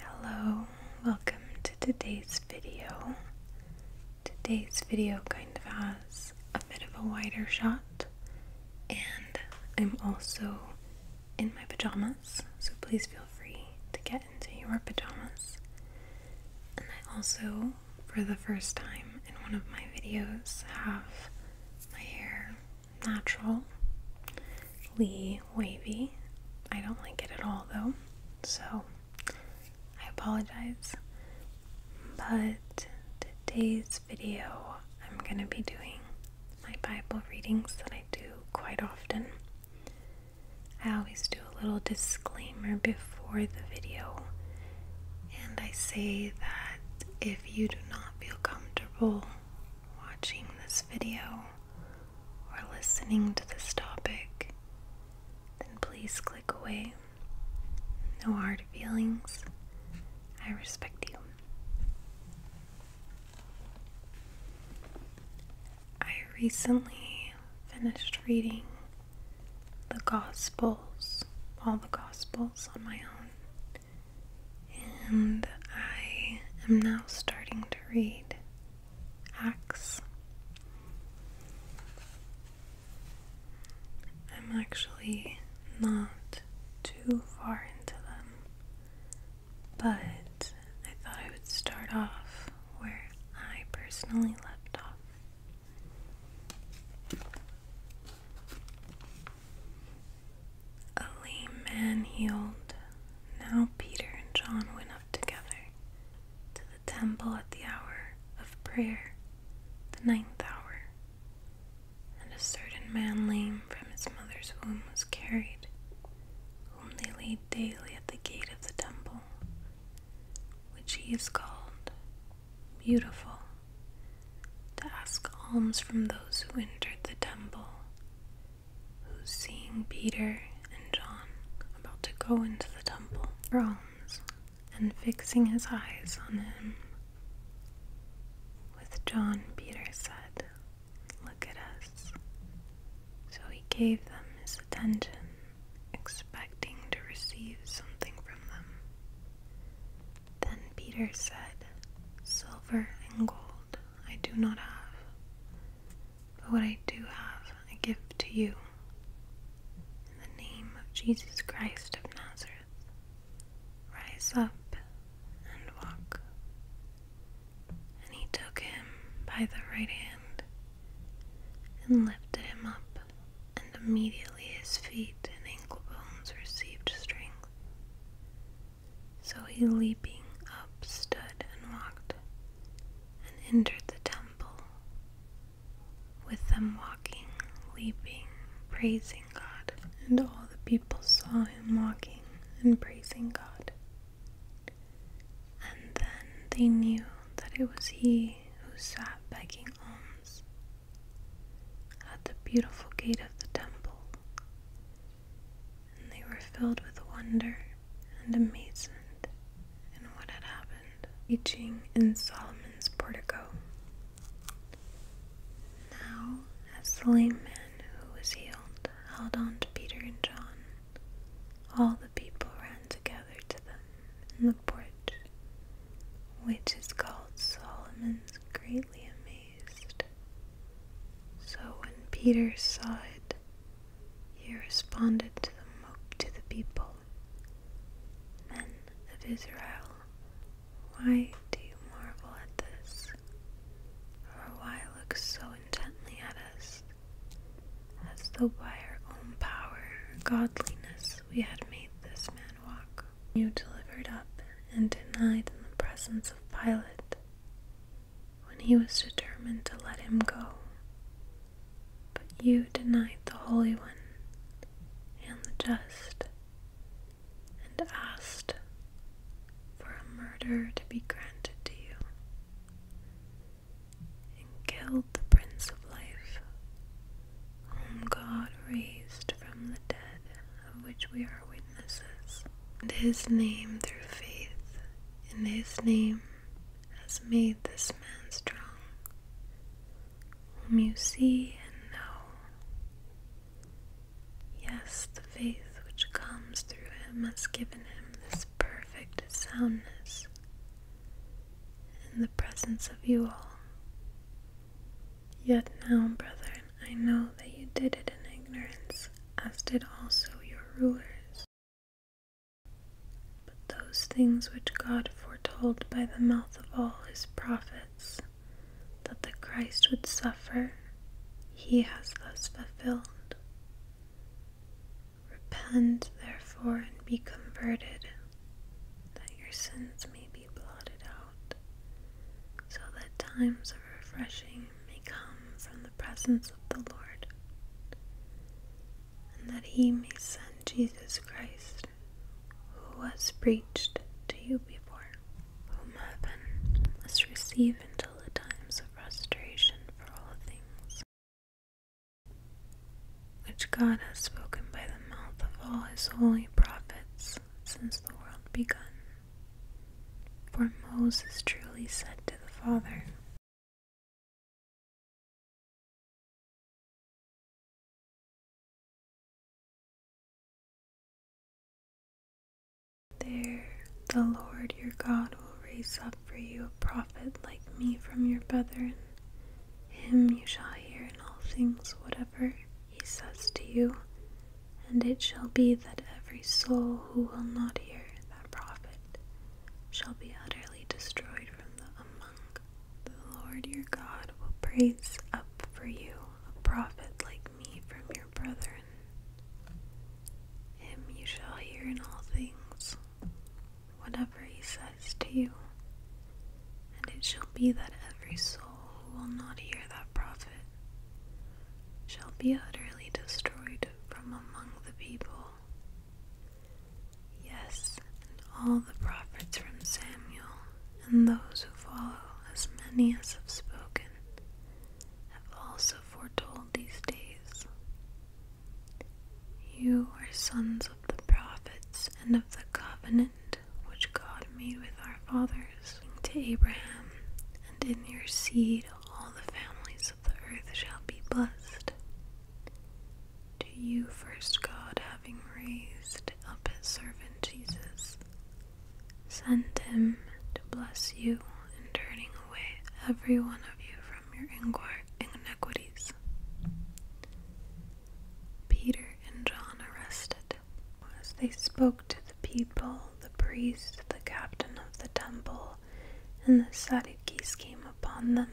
Hello, welcome to today's video. Today's video kind of has a bit of a wider shot, and I'm also in my pajamas, so please feel free to get into your pajamas. And I also, for the first time in one of my videos, have my hair natural lee wavy. I don't like it at all though, so I apologize. But today's video, I'm going to be doing my Bible readings that I do quite often. I always do a little disclaimer before the video, and I say that if you do not feel comfortable watching this video or listening to this topic, then please click away. No hard feelings. I respect you. I recently finished reading the Gospels, all the Gospels on my own. And I am now starting to read Acts. I'm actually not too far into them, but I thought I would start off where I personally left off. A lame man healed. Now Peter and John went up together to the temple at the hour of prayer, the ninth hour. And a certain man lame from his mother's womb was carried, whom they laid daily at the gate of the temple, which he is called Beautiful, to ask alms from those who entered the temple, who, seeing Peter and John about to go into the temple for alms, and fixing his eyes on them, with John, Peter said, Look at us. So he gave them his attention, expecting to receive something from them. Then Peter said, Silver and gold I do not have, but what I do have I give to you. In the name of Jesus Christ of Nazareth, rise up and walk. And he took him by the right hand and lifted him up, and immediately his feet and ankle bones received strength. So he leaping up stood and walked, and entered the temple, with them walking, leaping, praising God. And all the people saw him walking and praising God. And then they knew that it was he who sat begging alms at the beautiful gate of the temple, and they were filled with wonder and amazement in what had happened, teaching in Solomon's portico. Now, as the lame man who was healed held on to Peter and John, all the people ran together to them in the porch, which is called Solomon's greatly amazed. So when Peter saw it, he responded to the, to the people Men of Israel, why do you marvel at this? Or why look so intently at us? As though by our own power godliness we had made this man walk you delivered up and denied in the presence of Pilate when he was determined to let him go. But you denied the Holy One and the just and asked for a murder to be granted to you and killed the Prince of Life, whom God raised from the dead of which we are witnesses. and his name, through faith, in his name has made this man strong, whom you see and know. Yes, the faith which comes through him has given him this perfect soundness in the presence of you all. Yet now, brethren, I know that you did it in ignorance, as did also your rulers. But those things which God foretold by the mouth of all his prophets, that the Christ would suffer, he has thus fulfilled. Repent, therefore, and be converted, that your sins may be blotted out so that times of refreshing may come from the presence of the Lord, and that he may send Jesus Christ, who was preached to you before, whom heaven must receive until the times of restoration for all things, which God has spoken by the mouth of all his holy prophets since the world begun. For Moses truly said to the Father, There the Lord your God will raise up for you a prophet like me from your brethren. Him you shall hear in all things, whatever he says to you, and it shall be that every soul who will not hear that prophet shall be utterly destroyed from the among. The Lord your God will praise up for you a prophet like me from your brethren. Him you shall hear in all things, whatever he says to you. And it shall be that every soul who will not hear that prophet shall be utterly destroyed from among the people. Yes, and all the prophets from Samuel and those who follow, as many as have spoken, have also foretold these days. You are sons of the prophets and of the covenant which God made with our fathers, to Abraham, and in your seed all the families of the earth shall be blessed. To you first God, having raised up his servant Jesus, sent him to bless you and turning away every one of you from your iniquities. Peter and John arrested. As they spoke to the people, the priest, the captain of the temple, and the Sadducees came upon them,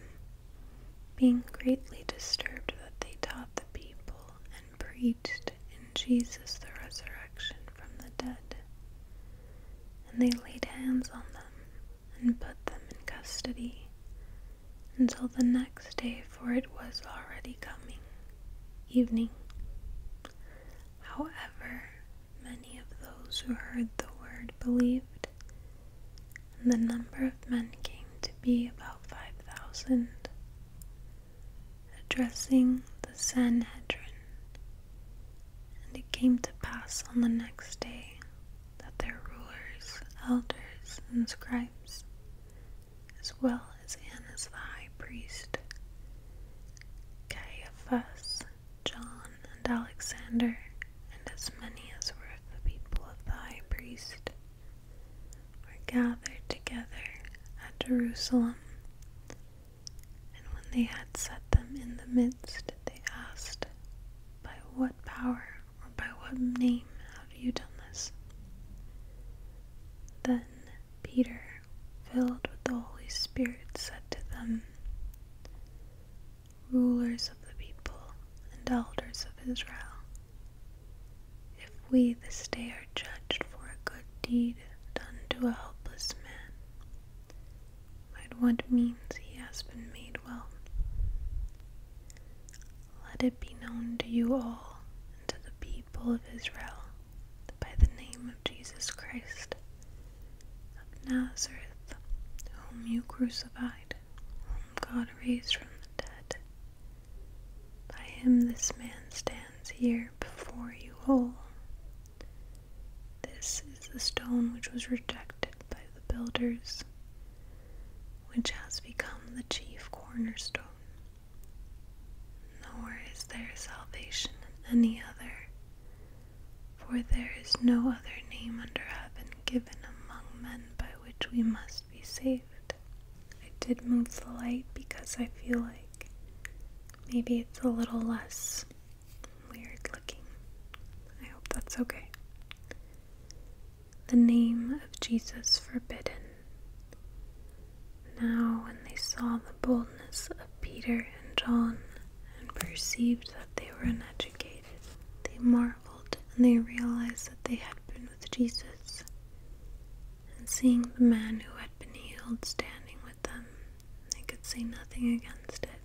being greatly disturbed that they taught the people and preached in Jesus the resurrection from the dead. And they laid hands on them and put them in custody until the next day, for it was already coming evening. However, many of those who heard the word believed, and the number of men came to be about five thousand. Addressing the Sanhedrin, and it came to pass on the next day that their rulers, elders, and scribes as well as Annas the high priest, Caiaphas, John, and Alexander, and as many as were of the people of the high priest, were gathered together at Jerusalem. And when they had set them in the midst, they asked, By what power or by what name have you done this? Then Peter, filled with the Holy Spirit, said to them, Rulers of the people and elders of Israel, if we this day are judged for a good deed done to a helpless man, by what means he has been made well. Let it be known to you all and to the people of Israel that by the name of Jesus Christ of Nazareth, whom you crucified, whom God raised from the dead, by him this man stands here before you all. This is the stone which was rejected by the builders, which has become the chief cornerstone. Nor is there salvation in any other, for there is no other name under heaven given among men by which we must be saved. I did move the light because I feel like maybe it's a little less weird looking. I hope that's okay the name of Jesus forbidden. Now, when they saw the boldness of Peter and John and perceived that they were uneducated, they marveled and they realized that they had been with Jesus. And seeing the man who had been healed standing with them, they could say nothing against it.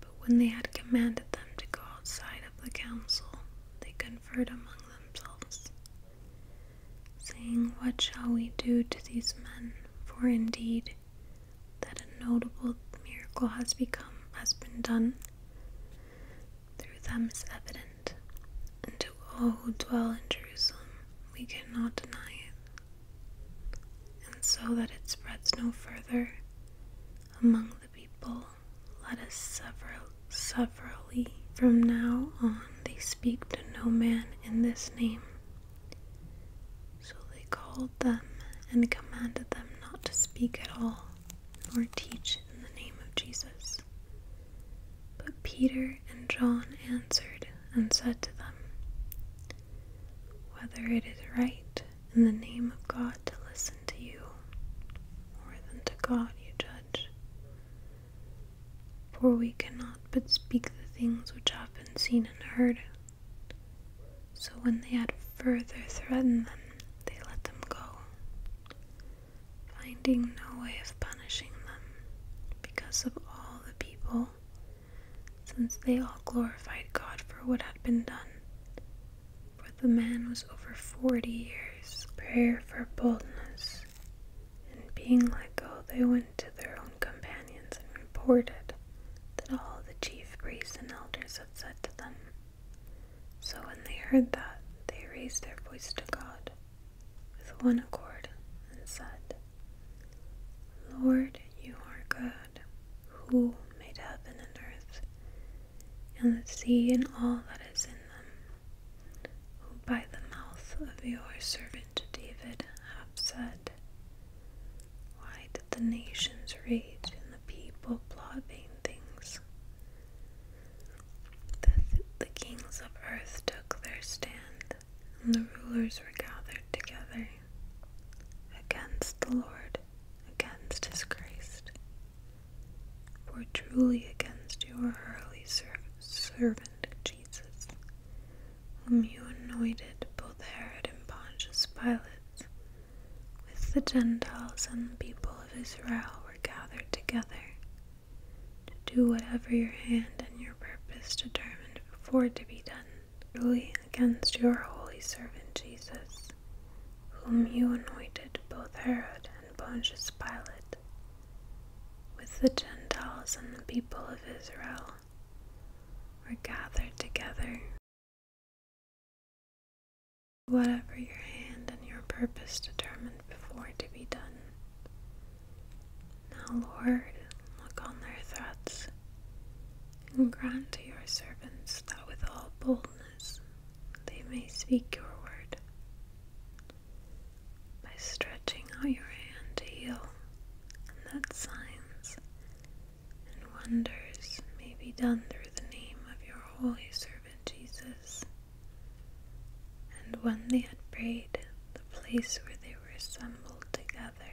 But when they had commanded them to go outside of the council, they could among themselves, saying, What shall we do to these men? For indeed, that a notable miracle has become has been done through them is evident, and to all who dwell in Jerusalem we cannot deny it. And so that it spreads no further among the people let us sever severally from now on they speak to no man in this name. So they called them and commanded them not to speak at all, nor teach in the name of Jesus. But Peter and John answered and said to them, Whether it is right in the name of God to listen to you more than to God you judge. For we cannot but speak the things which have been seen and heard. So when they had further threatened them, they let them go, finding no way of punishing them because of all the people, since they all glorified God for what had been done for the man was over 40 years. Prayer for boldness. And being let go, they went to their own companions and reported that all the chief priests and elders had said to them. So when they heard that, they raised their voice to God with one accord and said, Lord, you are good, who made heaven and earth, and the sea and all that is in them, who by the mouth of your servant David have said, Why did the nations rage and the people plot vain things? The, kings of earth took their stand, and the rulers were gathered together against the Lord, against his Christ. For truly against your holy servant Jesus, whom you anointed both Herod and Pontius Pilate, with the Gentiles and the people of Israel were gathered together, to do whatever your hand and your purpose determined before to be done, truly against your holy servant Jesus whom you anointed both Herod and Pontius Pilate, with the Gentiles and the people of Israel, were gathered together. Whatever your hand and your purpose determined before to be done. Now, Lord, look on their threats, and grant to your servants that with all boldness they may speak your word. By stretching out your hand to heal, and that signs and wonders may be done through the name of your holy servant Jesus. And when they had prayed, the place where they were assembled together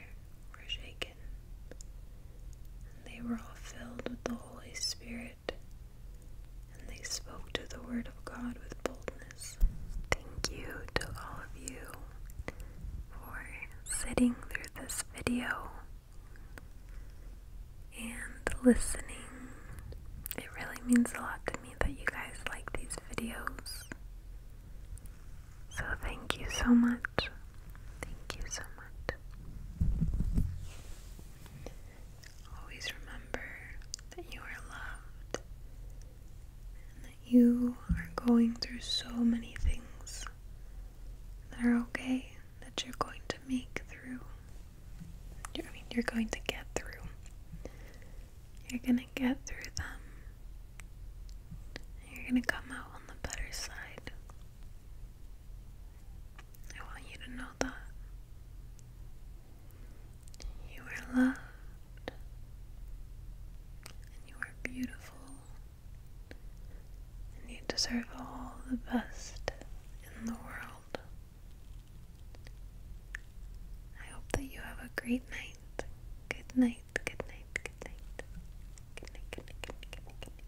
were shaken, and they were all filled with the Holy Spirit and they spoke to the Word of God with boldness. Thank you to all of you for sitting through this video and listening. It really means a lot to me that you guys like these videos. So thank you so much. Thank you so much. Always remember that you are loved and that you are going through so many things that are okay that you're going to make through. I mean, you're going to get through. You're going to get through them. You're going to come out on the better side. I want you to know that you are loved and you are beautiful and you deserve all the best in the world. I hope that you have a great night. Good night. Good night. Good night. Good night. Good night. Good night.